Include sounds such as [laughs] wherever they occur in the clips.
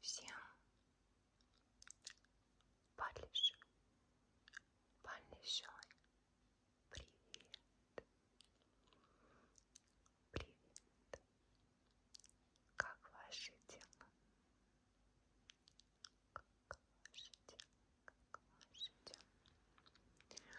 всем большой большой привет привет как ваши дела как ваши дела как ваши дела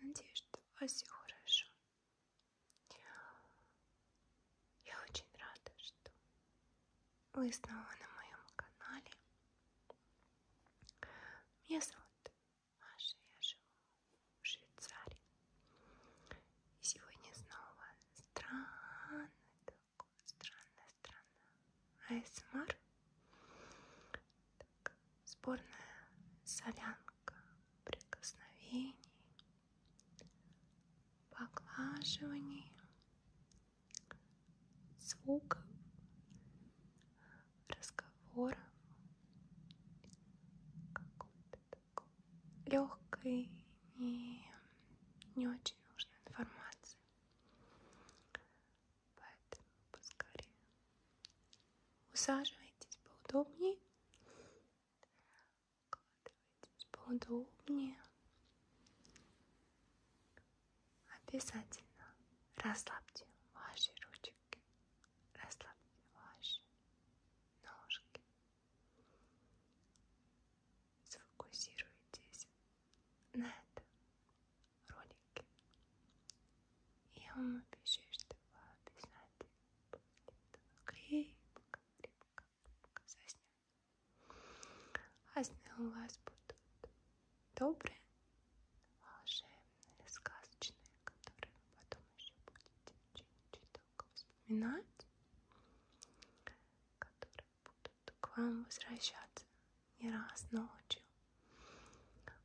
я надеюсь что у вас все хорошо я очень рада, что вы снова на моем канале. Меня зовут Маша, я живу в Швейцарии. И сегодня снова странный такой, странная страна. АСМР. Так, сборная солянка прикосновений, поглаживаний, звуков, разговоров, какой-то такой легкой и не очень нужной информации. Поэтому поскорее усаживайтесь поудобнее Укладывайтесь поудобнее. Обязательно расслабьте ваши ручки, расслабьте ваши ножки. Сфокусируйтесь на этом ролике. Я вам обещаю, что вы обязательно крепко, крепко, крепко засни. А сны у вас будут добрые, волшебные, сказочные, которые вы потом еще будете очень-очень долго вспоминать, которые будут к вам возвращаться не раз ночью,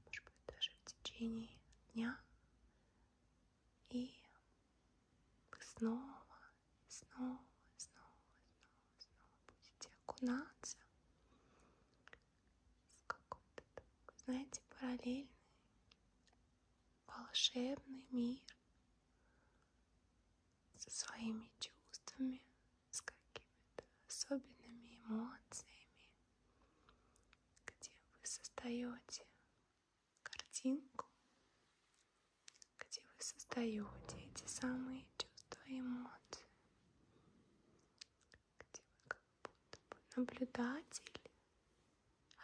может быть, даже в течение дня, и снова, снова, снова, снова, снова будете окунаться в какой-то такой, знаете, параллельный, волшебный мир со своими чувствами, с какими-то особенными эмоциями, где вы создаете картинку, где вы создаете эти самые чувства и эмоции, где вы как будто бы наблюдатель,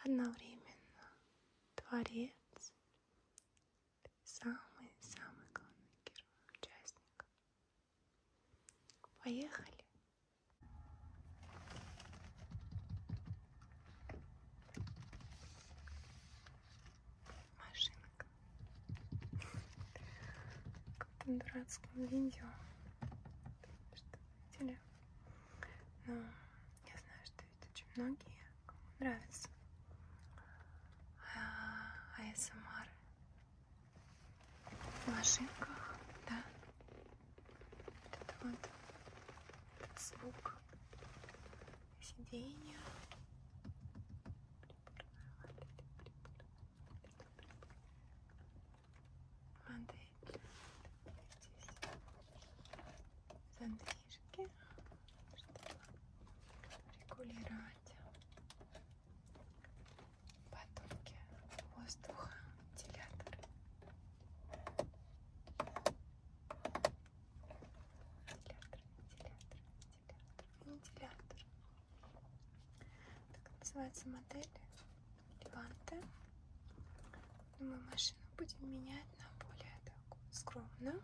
одновременно творец, самый-самый главный герой, участник. Поехали. Машинка. Как в том дурацком видео. Что видели? Но я знаю, что ведь очень многие кому нравится. А, а я сама машинках, да. Вот это вот этот звук сиденья. Модель. Здесь задвижки, чтобы регулировать батонки воздуха, делятор. Вентилятор, вентилятор, вентилятор, вентилятор. Так называется модель Леванте. Мы машину будем менять на более такую скромную,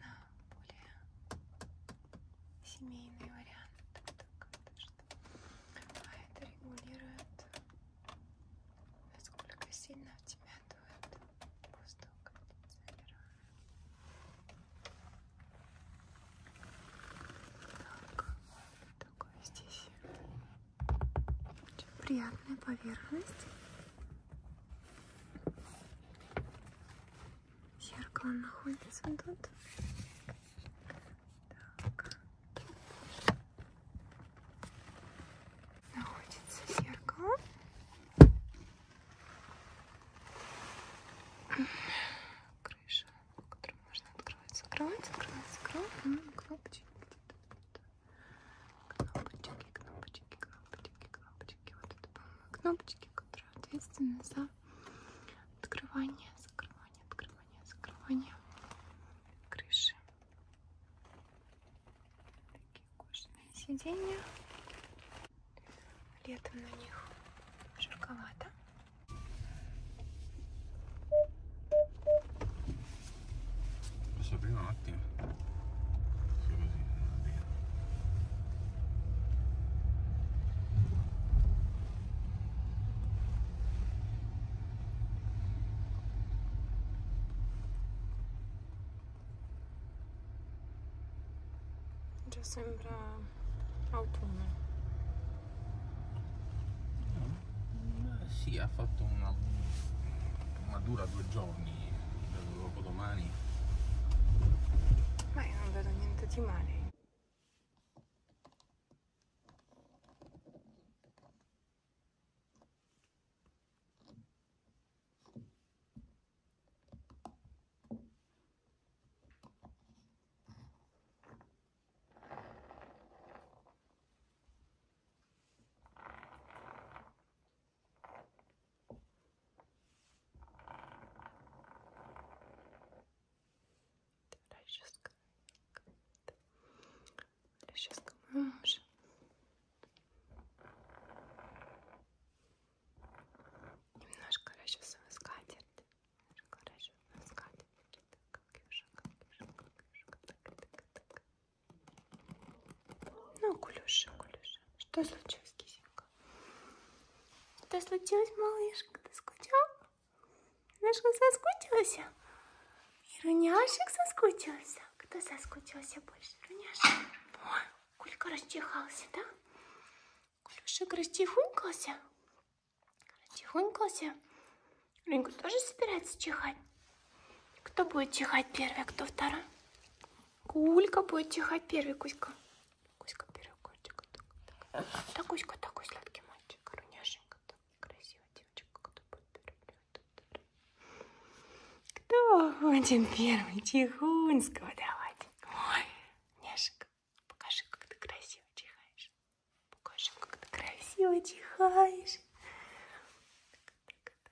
на более семейный вариант. Так, так, даже а это регулирует, насколько сильно в тебя дует воздух кондиционера. Так, вот такой здесь очень приятная поверхность. Зеркало находится тут. Так. Находится зеркало. Крыша, которую можно открывать, закрывать, открывать, закрывать. Ну, кнопочки. Кнопочки, кнопочки, кнопочки, кнопочки. Вот это, по-моему, кнопочки, которые ответственны за Открывание, закрывание, открывание, закрывание крыши. Такие кожаные сиденья. Летом на них жарковато. Sabrina, not there. Già sembra autunno. No. Eh, sì, ha fatto una, una dura due giorni dopodomani. Ma io non vedo niente di male. Творческая какая-то. Творческая мужа. Немножко расчесываю скатерть. Немножко расчесываю скатерть. Так, как южа, как южа, как южа. Так, так, так. Ну, кулюша, кулюша. Что случилось, кисенька? Что случилось, малышка? Ты скучал? Малышка соскучился? И руняшек соскучился? Кто соскучился больше? Руняшек? О, Кулька расчихался, да? Кулюшек расчихунькался? Расчихунькался? Рынька тоже собирается чихать? Кто будет чихать первый, а кто второй? Кулька будет чихать первый, Кузька. Кузька перекотик. Так, да, Кузька такой сладкий мальчик, руняшенька, так красивая девочка, кто будет первый. Кто будем первый? Тихонского давать. Ой, Няшенька, покажи, как ты красиво чихаешь. Покажи, как ты красиво чихаешь. Так, так, так.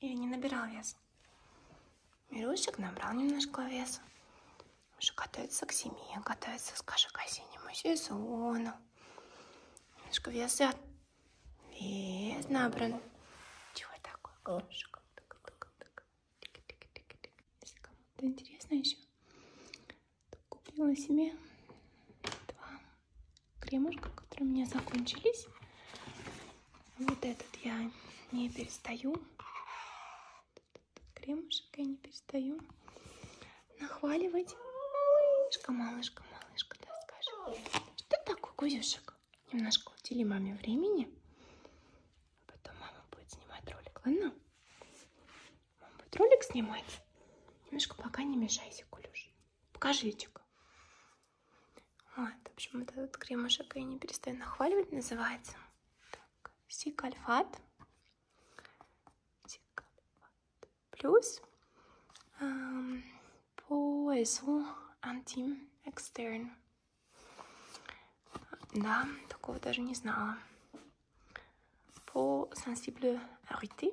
Я не набирал вес. Мирусик набрал немножко веса. Уже готовится к зиме, готовится, скажем, к осеннему сезону. Немножко вес взят. Вес набран. Чего такое? Кошка. Если кому-то интересно еще, то купила себе два кремушка, которые у меня закончились. Вот этот я не перестаю. Этот кремушек я не перестаю нахваливать. Малышка, малышка, малышка, да, скажи. Что такое, Кузюшек? Немножко удели маме времени. А потом мама будет снимать ролик, ладно? Мама будет ролик снимать. Немножко пока не мешайся, Кулюш. Покажите-ка. Вот, а, в общем, вот этот кремушек я не перестаю нахваливать, называется. Так, сикальфат. Сикальфат. Плюс эм, поэзу антим экстерн. Да, такого даже не знала. По sensible arité.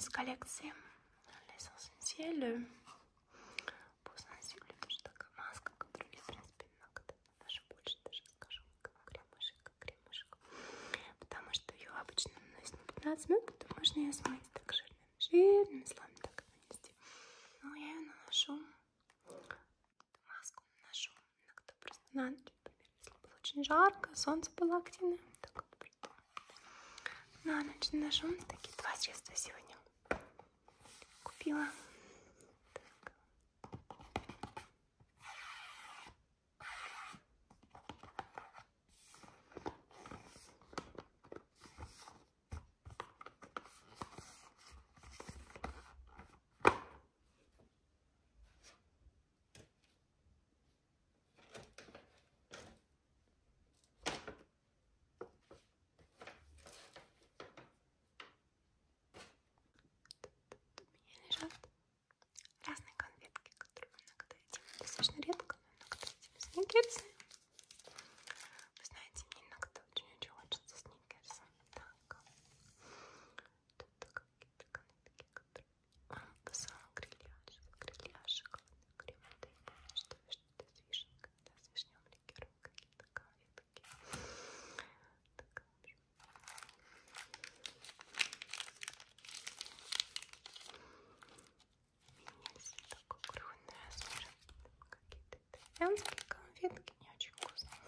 с коллекции Les Essentiels. Пусть носили тоже такая маска, которую я, в принципе, иногда даже больше даже скажу, как кремушек, как кремушек. Потому что ее обычно наносят на 15 минут, потом можно ее смыть так жирным, жирным слоем так нанести. Но ну, я ее наношу, маску наношу иногда просто на ночь например, если было очень жарко, солнце было активное, так вот придумать. На ночь ножом такие два средства сегодня купила. Так. У меня лежат разные конфетки, которые иногда едим достаточно редко, но иногда едим сникерсы. Вы знаете, мне иногда очень-очень хочется сникерса. Так, тут какие-то конфетки, которые Посылал грильяж, грильяж, шоколадный крем. Ты помнишь, что что-то с вишенкой, да, с вишневым ликером, какие-то конфетки. Так, Минец такой огромный размер. Какие-то итальянские конфетки не очень вкусные.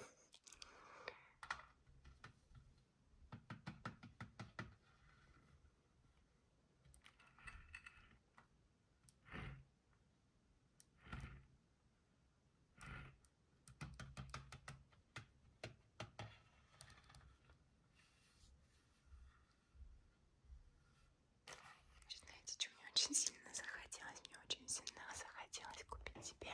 Знаете, что мне очень сильно захотелось? Мне очень сильно захотелось купить себе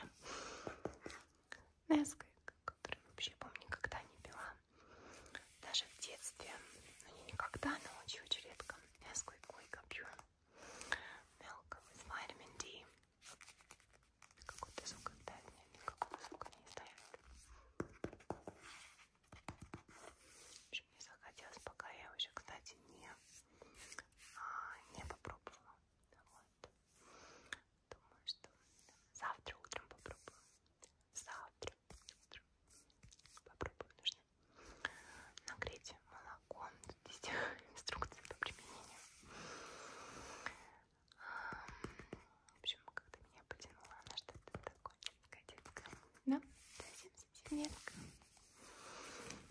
Несквик, который вообще, помню, никогда не пила. Даже в детстве, ну не никогда, но очень-очень редко. Несквик, Койка, Pure Milk with Vitamin D. Какой-то звук отдает мне, никакого звука не издает. В общем, мне захотелось, пока я уже, кстати, не, а, не попробовала. Вот. Думаю, что завтра утром попробую. Завтра утром попробую. Нужно нагреть молоко. Тут есть [laughs] инструкции по применению. В общем, когда меня потянула, она что-то такое котенка. Да, совсем совсем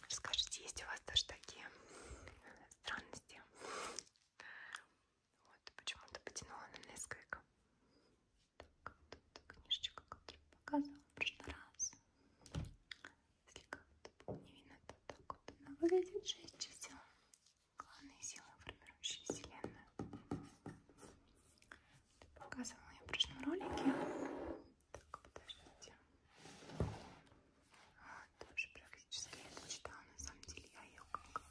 Расскажите, есть у вас тоже такие странности? Вот, почему-то потянула на несколько. Так, вот эта книжечка, которую показывала в прошлый раз. Если как-то было не видно, то так вот она выглядит. Шесть чисел. Главные силы, формирующие Вселенную. Это показывала я в прошлом ролике. Так, подождите тоже практически я дочитала, на самом деле я ее как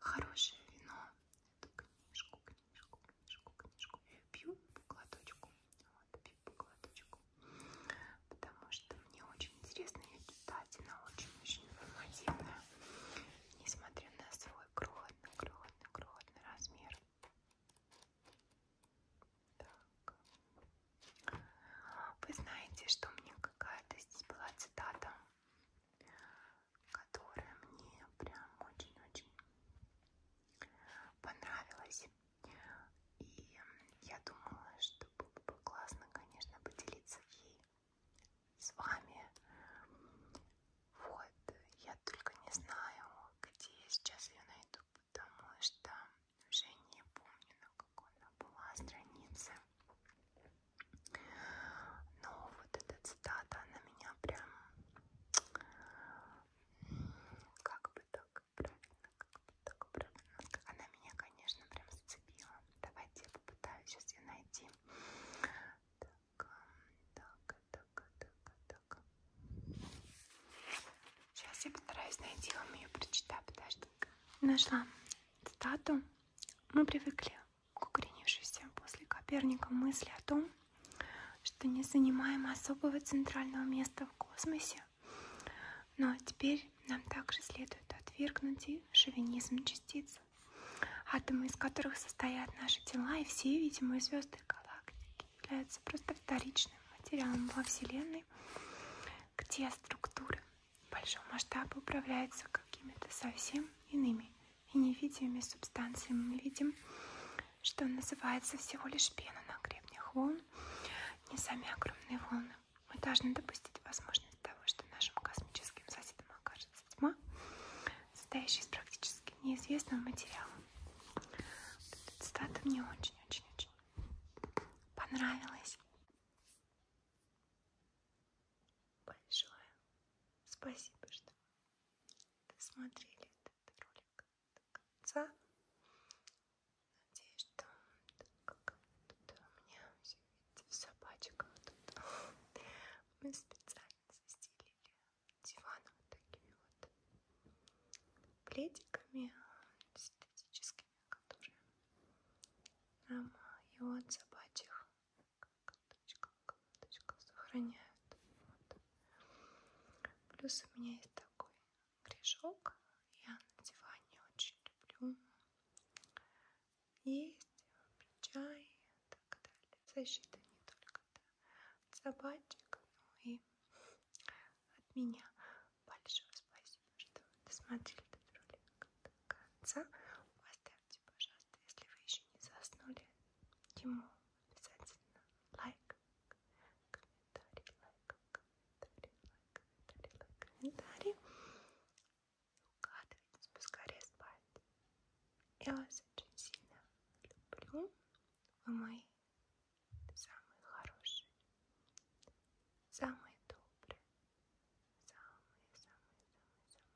хорошее вино, эту книжку, книжку, книжку, книжку, я ее пью по глоточку, вот, пью по глоточку, потому что мне очень интересно ее читать, она очень-очень информативная, несмотря на свой крохотный, крохотный, крохотный размер. Так. Вы знаете, что мне какая-то здесь была цитата, которая мне прям очень-очень понравилась. И я думала, что было бы классно, конечно, поделиться ей с вами. Вот, я только не знаю, где я сейчас ее найду потому что уже не помню, на какой она была странице. Но вот эта цитата, она меня прям, как бы так правильно, как бы так правильно, она меня, конечно, прям зацепила. Давайте я попытаюсь сейчас ее найти. Так, так, так, так, так. Сейчас я постараюсь найти вам ее, прочитаю, потому что нашла цитату. Мы привыкли к укоренившейся после Коперника мысли о том, что не занимаем особого центрального места в космосе, но теперь нам также следует отвергнуть и шовинизм частиц, атомы из которых состоят наши тела и все видимые звезды галактики является просто вторичным материалом во Вселенной, где структуры большого масштаба управляются какими-то совсем иными и невидимыми субстанциями. Мы видим, что называется всего лишь пена на гребнях волн, не сами огромные волны. Мы должны допустить возможность того, что нашим космическим соседом окажется тьма, состоящая из практически неизвестного материала. Эта цитата мне очень-очень-очень понравилось. Большое спасибо, что досмотрели этот ролик до конца. Надеюсь, что как тут у меня все видите в собачках тут. [laughs] Мы специально застелили диваном вот такими вот пледиками синтетическими, которые нам его от собачьих коготочка, коготочка сохраняют. Вот. Плюс у меня есть такой грешок. Я на диване очень люблю есть, чай и так далее. Защита не только от собачек. Ну и от меня большое спасибо, что досмотрели этот ролик до конца. Поставьте, пожалуйста, если вы еще не заснули, ему обязательно лайк, комментарий, лайк, комментарий, лайк, комментарий, лайк, комментарий. Укладывайтесь поскорее спать. Я вас очень сильно люблю. Вы мои самые хорошие, самые добрые, самые-самые-самые-самые-самые.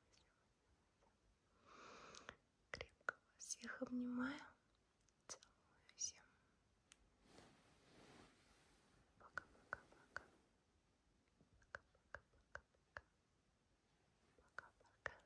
Крепко вас всех обнимаю, целую всем. Пока-пока-пока. Пока-пока-пока-пока. Пока-пока.